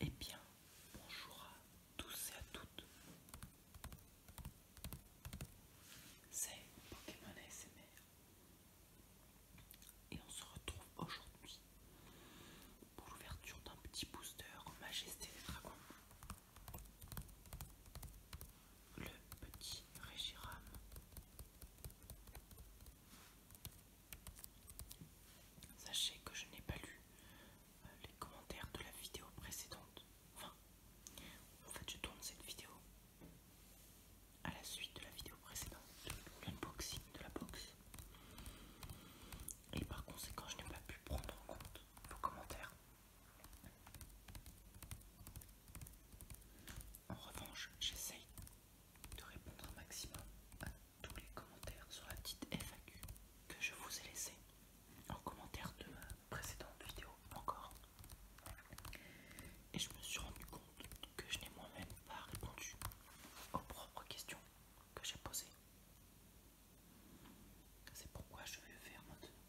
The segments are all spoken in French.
Eh bien, bonjour à tous et à toutes. C'est Pokémon ASMR. Et on se retrouve aujourd'hui pour l'ouverture d'un petit booster Majesté des Dragons. Le petit Régiram. Sachez que je n'ai pas lu euh, les commentaires de la vidéo précédente. Enfin, en fait, je tourne cette vidéo à la suite de la vidéo précédente, l'unboxing de la box. Et par conséquent, je n'ai pas pu prendre en compte vos commentaires. En revanche, j'essaye de répondre au maximum tous les commentaires sur la petite FAQ que je vous ai laissé en commentaire de ma précédente vidéo encore. Et je me suis rendu compte que je n'ai moi-même pas répondu aux propres questions que j'ai posées. C'est pourquoi je vais le faire maintenant.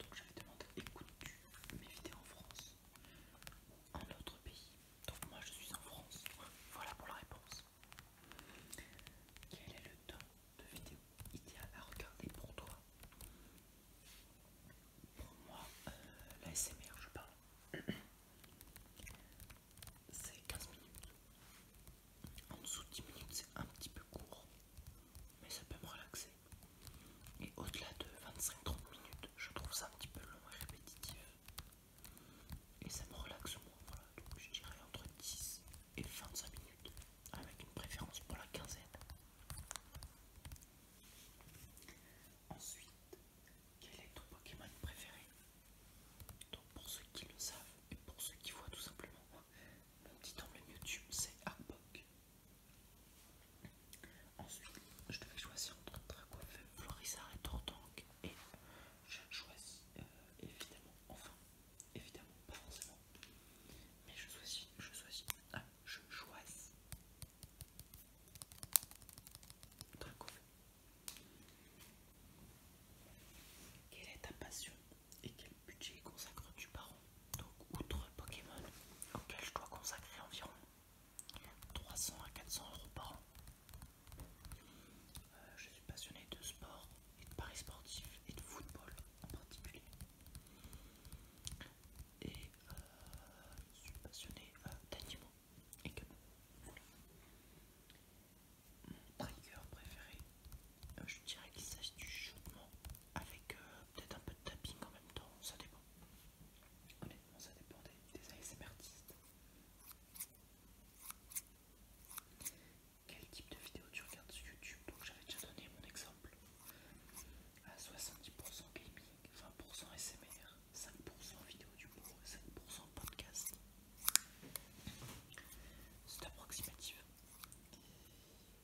Donc j'avais demandé écoutes-tu mes vidéos en France un autre pays. Donc moi je suis en France. Voilà pour la réponse. Quel est le temps de vidéo idéal à regarder pour toi Pour moi, euh, la SMR, je parle. C'est 15 minutes. En dessous de 10 minutes, c'est un petit peu court, mais ça peut me relaxer. Et au-delà de 25-30 minutes, je trouve ça un petit peu long et répétitif et ça me relaxe moi, voilà, donc je dirais entre 10 et 25 minutes, avec une préférence pour la quinzaine. Ensuite, quel est ton Pokémon préféré Donc pour ceux qui le savent et pour ceux qui voient tout simplement, hein, mon petit emblème YouTube c'est Arbok. Ensuite, je devais choisir entre Dragofeu, Florissard et Tortank et je choisis euh, évidemment, enfin, évidemment, pas forcément, mais je choisis, je choisis, ah, je choisis cool Quelle est ta passion et quel budget consacres-tu par an Donc, outre Pokémon, auquel je dois consacrer environ 300 à 400 euros par an. Euh, je suis passionné de sport et de paris sportifs et de football en particulier. Et euh, je suis passionné euh, d'animaux et Mon trigger préféré, je dirais qu'il s'agit du chuchotement avec peut-être un peu de tapping en même temps, ça dépend. Honnêtement, ça dépend des, des quel type de vidéo tu regardes sur YouTube Donc j'avais déjà donné mon exemple. À 70% gaming, 20% SMR, 5% vidéo du et 5% podcast. C'est approximatif.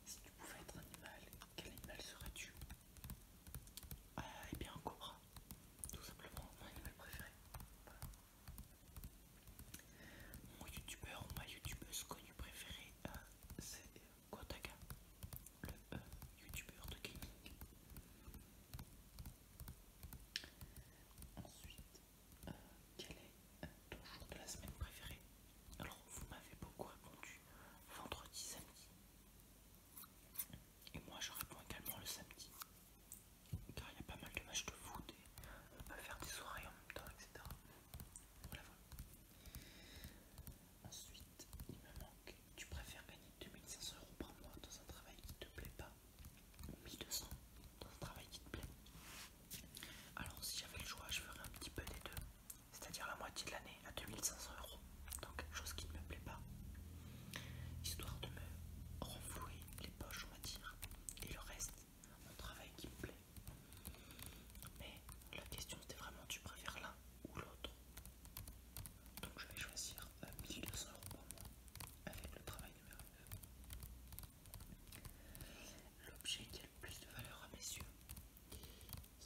Si tu pouvais être animal, quel animal serais-tu ah, Eh bien un cobra tout simplement mon animal préféré. Mon youtubeur ou ma youtubeuse connue préférée, euh, c'est Kotaka, le euh, youtubeur de gaming. Ensuite, euh, quel est ton jour de la semaine préféré Alors, vous m'avez beaucoup répondu vendredi, samedi. Et moi je réponds également le samedi. Car il y a pas mal de matchs de foot et on peut faire des soirées en même temps, etc. Voilà, Ensuite, il me manque. Tu préfères gagner 2500 euros par mois dans un travail qui te plaît pas ou 1200 dans un travail qui te plaît Alors, si j'avais le choix, je ferais un petit peu des deux. C'est-à-dire la moitié de l'année à 2500 euros dans quelque chose qui ne me plaît pas histoire de me renflouer les poches, on va dire, et le reste, mon travail qui me plaît. Mais la question c'était vraiment tu préfères l'un ou l'autre. Donc je vais choisir 1200 euh, euros par mois avec le travail numéro 2 L'objet qui a le plus de valeur à mes yeux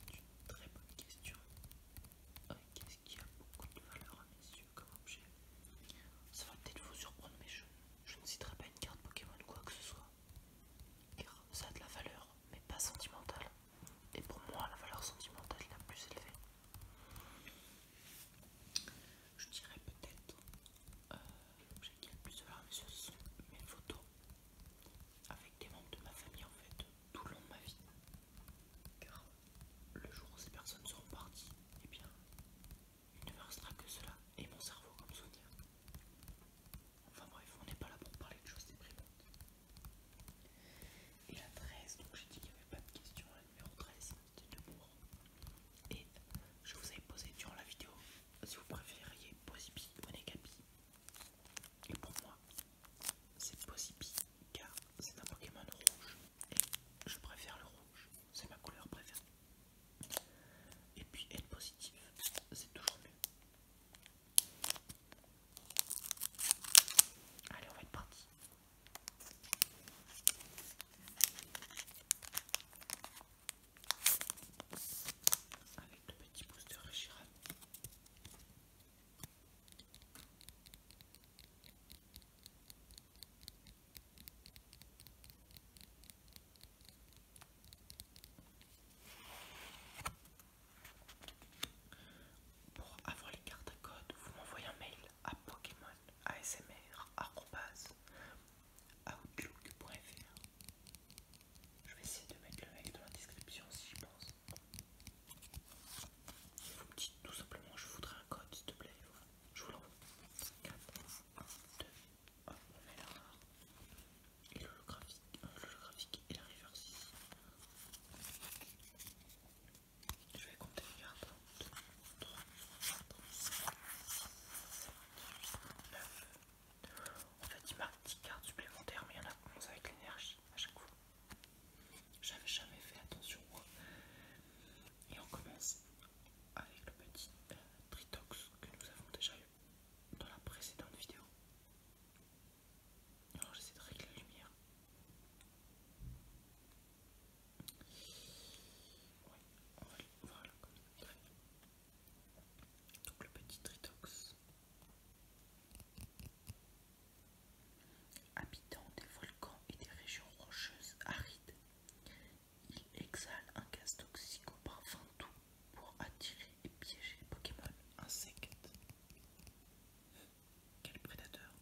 C'est une très bonne question qu'est-ce qui a beaucoup de valeur à mes yeux comme objet. Ça va peut-être vous surprendre, mais je, je ne citerai pas une carte Pokémon ou quoi que ce soit. Car ça a de la valeur, mais pas sentimentale. Et pour moi, la valeur sentimentale est la plus élevée. Je dirais peut-être euh, l'objet qui a le plus de valeur à mes yeux, sont mes photos avec des membres de ma famille en fait tout le long de ma vie le jour où ces personnes seront parties, et eh bien, il ne me restera que cela et mon cerveau comme souvenir. Enfin bref, on n'est pas là pour parler de choses déprimantes. Et la 13, donc j'ai dit qu'il n'y avait pas de question, la numéro 13, c'était de mourir Et je vous avais posé durant la vidéo si vous préfériez Posipi ou Negabi, Et pour moi, c'est Posipi car c'est un Pokémon rouge et je préfère le rouge, c'est ma couleur préférée. Et puis être positif, c'est toujours mieux. Allez, on va être parti. Avec le petit booster Reshiram. Pour avoir les cartes à code, vous m'envoyez un mail à outlook.fr Je vais essayer de mettre le mail dans la description si je pense vous me dites tout simplement je voudrais un code s'il te plaît, voilà. je vous l'envoie. 4, 1, 2, 1, on met la Et l'holographique euh, et la reverse ici. Je vais compter les cartes, 1, 2, 3, 4, 5, 6, 9. En fait, il marque 10 cartes supplémentaires, mais il y en a 11 avec l'énergie à chaque fois. J'avais jamais fait attention. Et on commence avec le petit Tritox euh, que nous avons déjà eu dans la précédente vidéo. Alors j'essaie de régler la lumière. on va voilà, comme ça. Donc le petit Tritox. Habitant des volcans et des régions rocheuses arides, il exhale un gaz toxique au pour attirer et piéger les Pokémon insectes. Quel prédateur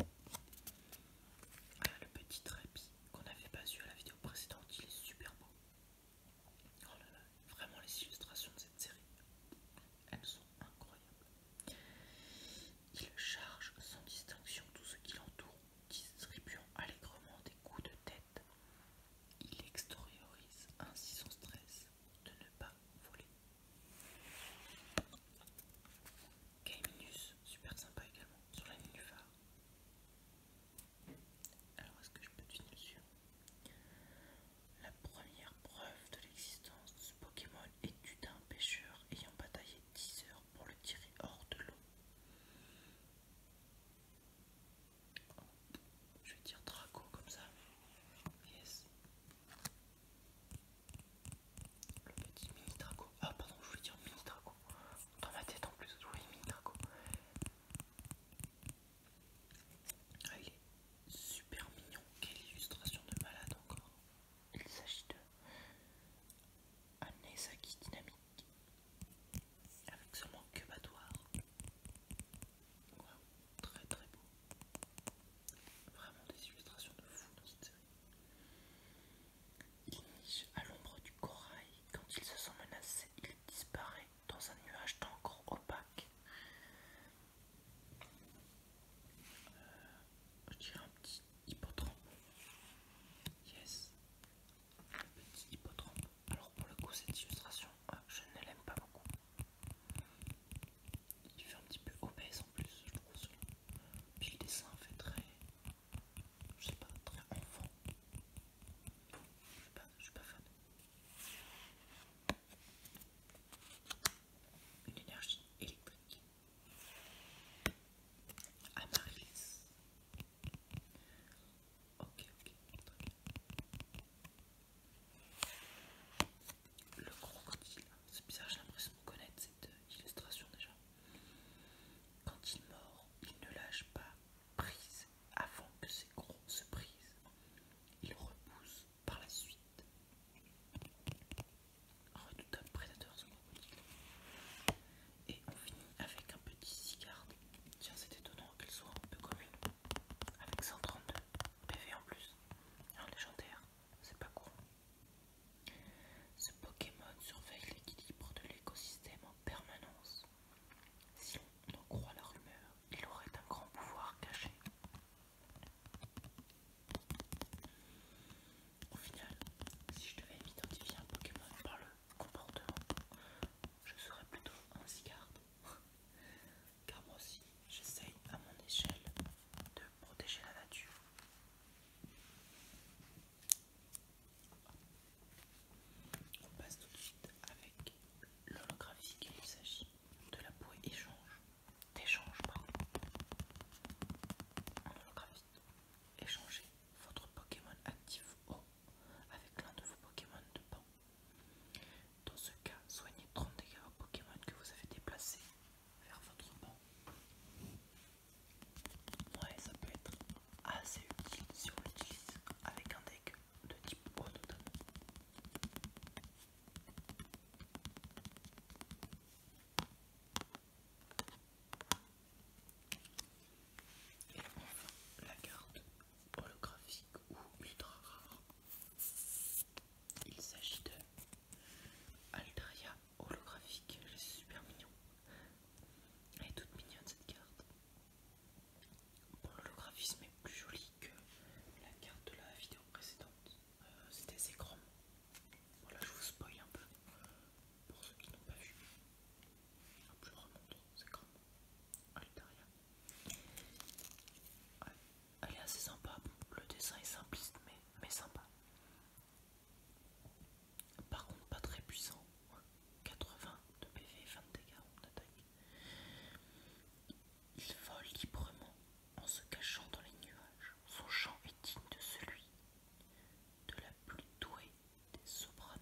le petit Trapi qu'on n'avait pas vu à la vidéo précédente, il est super beau. Oh vraiment les illustrations de cette série, elles sont incroyables. Il charge sans distinction tout ce qui l'entoure, distribuant allègrement des coups de tête. Il extériorise ainsi son stress de ne pas voler. Caiminus, super sympa également, sur la phare. Alors est-ce que je peux dire sur La première preuve de l'existence de ce Pokémon est du pêcheur ayant bataillé 10 heures pour le tirer hors de l'eau. je vais dire Draco comme ça. Yes. Le petit mini Draco. Ah pardon, je voulais dire mini Draco. Dans ma tête en plus, je mini Draco. Ah, il est super mignon. Quelle illustration de malade encore. Il s'agit de un dynamique avec seulement que très très beau. Vraiment des illustrations de fou dans cette série. Il niche à l'ombre du corail. Quand il se sent menacé, il disparaît dans un nuage d'encre opaque. Je dirais un petit hippotrampe. Yes. Un petit hippotrampe. Alors pour le coup cette illustration, euh, je ne l'aime pas beaucoup. Il fait un petit peu obèse en plus, je trouve Puis le dessin fait très... Je sais pas, très enfant. Je sais pas, je suis pas fan. Une énergie électrique. Ok, ok, Le crocodile, c'est bizarre, j'ai l'impression de connaître cette illustration déjà. Quand il mord, il ne lâche pas prise avant que ses crocs se brisent. Il repousse par la suite redoutable oh, prédateur ce Et on finit avec un petit cigare. Tiens, c'est étonnant qu'elle soit un peu commune. Avec 132 PV en plus. Un légendaire, c'est pas cool. Ce Pokémon surveille l'équilibre de l'écosystème en permanence. Si on en croit la rumeur, il aurait un grand pouvoir caché. Au final, si je devais m'identifier un Pokémon par le comportement, je serais plutôt un Zygarde. Car moi aussi, j'essaye à mon échelle de protéger la nature. On passe tout de suite avec l'holographique. Il s'agit de la peau échange d'échange, pardon, holographie. Échangez votre Pokémon actif O avec l'un de vos Pokémon de banc. Dans ce cas, soignez 30 dégâts au Pokémon que vous avez déplacé vers votre banc. Ouais, ça peut être assez utile si on l'utilise avec un deck de type O notamment. Et enfin, la carte holographique ou ultra rare. Il s'agit de Aldria holographique. Elle est super mignon. Elle est toute mignonne cette carte. Bon, l'holographisme est plus joli que la carte de la vidéo précédente. Euh, c'était assez Voilà, je vous spoil un peu pour ceux qui n'ont pas vu. je remonte, c'est grand. allez derrière elle est assez sympa. Le dessin est simpliste, mais, sympa. Par contre, pas très puissant. 80 de PV, 20 dégâts, Il vole librement en se cachant dans les nuages. Son chant est digne de celui de la plus douée des sopranos.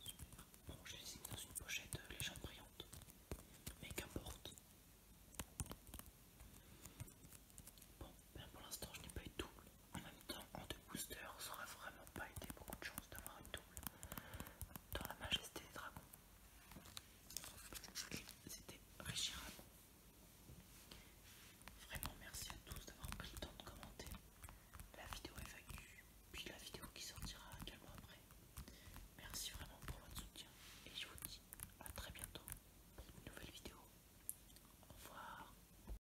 Super. Bon, je les dans une pochette légèrement brillante, mais qu'importe. Bon, ben, pour l'instant je n'ai pas eu de double. En même temps en deux boosters ça n'aurait vraiment pas été beaucoup de chance d'avoir une double dans la majesté des dragons. C'était Richiram. Vraiment merci à tous d'avoir pris le temps de commenter. La vidéo FAQ, puis la vidéo qui sortira également après. Merci vraiment pour votre soutien et je vous dis à très bientôt pour une nouvelle vidéo. Au revoir.